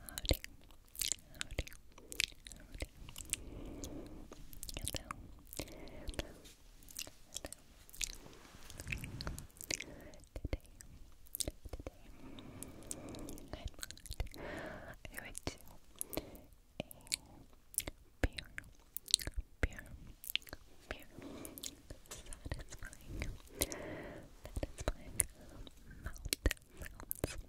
Howdy. Howdy. Howdy. Hello. Hello. Hello. Today, today, I would do satisfying, satisfying um, mouth sounds, mouth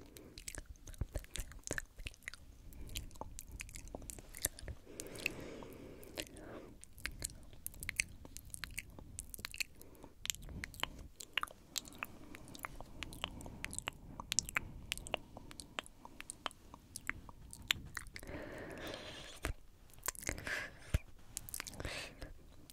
Thank you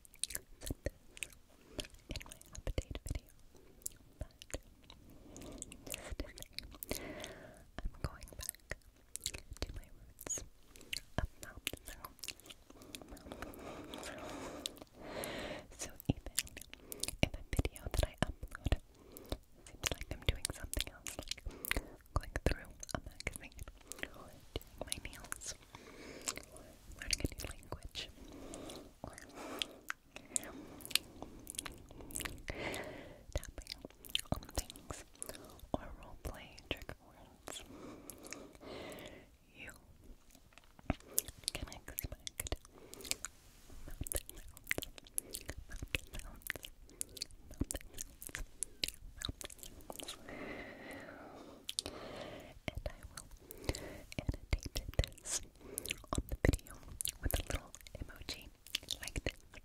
in my update video, but I'm going back to my roots of mouth So even if a video that I upload like I'm doing something else, like going through a magazine doing my nails, learning a new language or tapping on things or roleplay trick words. You can expect mountain sounds, mountain sounds, mountain sounds, mountain sounds. And I will annotated this on the video with a little emoji like this.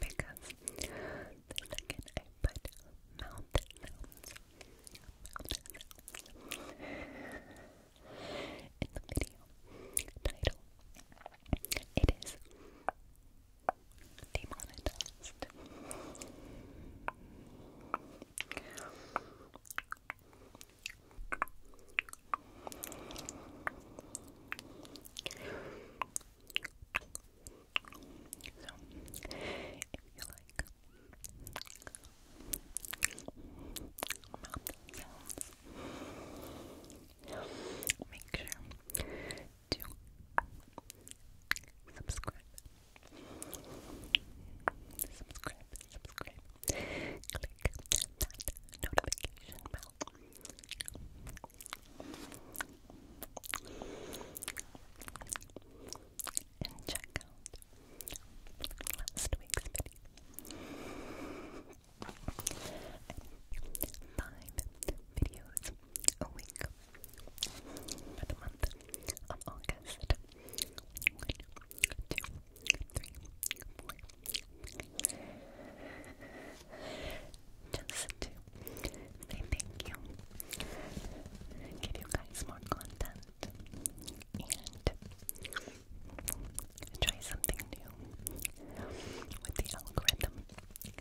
Because the second I put mouth in the video title, it is demonetized. So, if you like make sure subscribe. Subscribe, subscribe. Click that notification bell. And check out last week's video. And five videos a week for month of August. Just to thank you, give you guys more content, and try something new with the algorithm.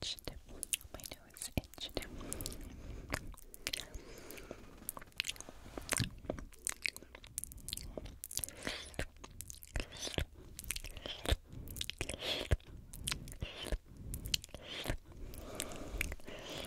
itched. My nose itched.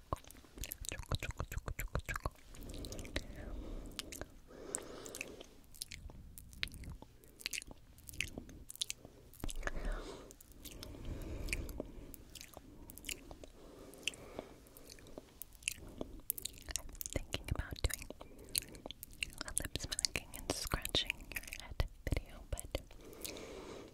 thinking about doing a lip smacking and scratching your head video, but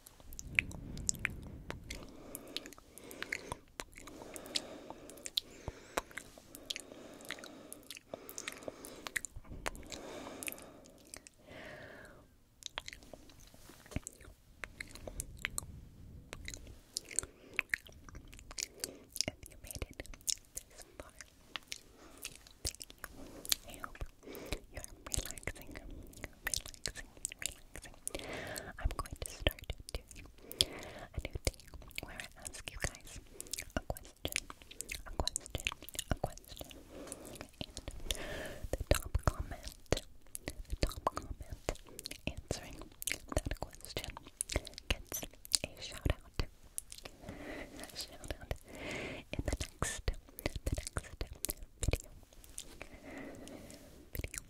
If you made it this far, thank you. I you're relaxing relaxing, relaxing. I'm going to start a new thing where I ask you guys a question, a question, a question. And the top comment, the top comment answering that question gets a shout out. shout out in the next, the next video. Video,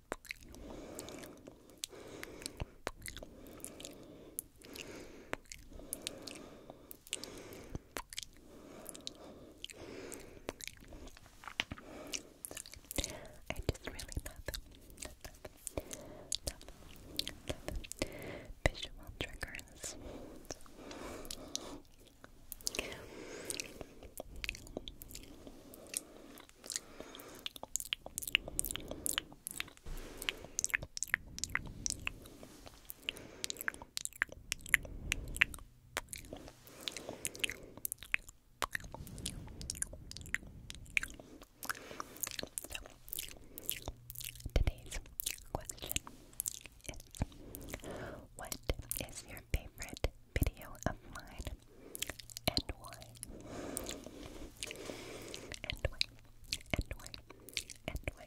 I just really love, love, visual triggers. Today's question What is your favorite video of mine? and why, and why, and why, and why.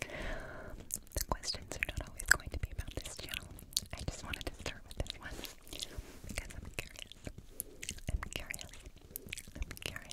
The questions are not always going to be about this channel. I just wanted to start with this one because I'm curious. I'm curious. I'm curious.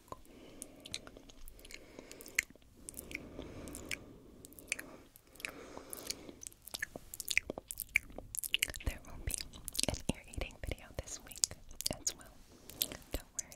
There will be an ear eating video this week as well. Don't worry.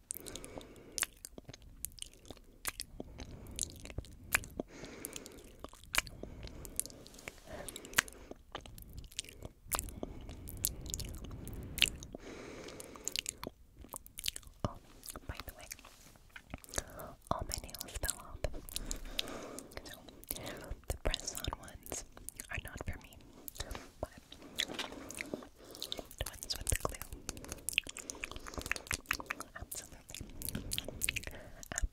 Oh, by the way, all my nails fell off. So, the press on ones are not for me. Twins with the glue. Absolutely. Absolutely.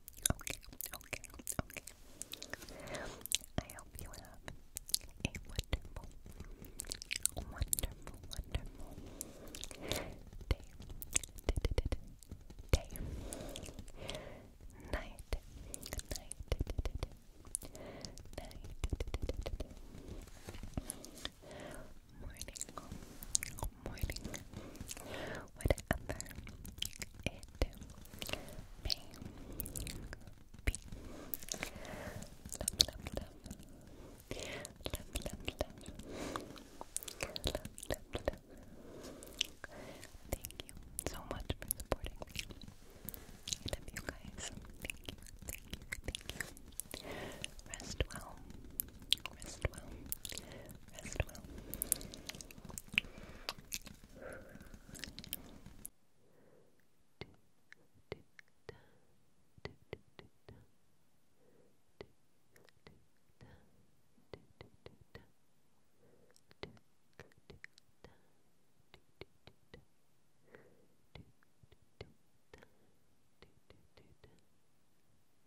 Okay, okay, okay. I hope you have a wonderful, wonderful, wonderful day, day, night, night, night, morning, whatever it may be. Love, love, love. Love, love, love. Love, love, love. Thank you so much for supporting me. love you guys. Thank you, thank you, thank you. Rest well. Rest well. Rest well.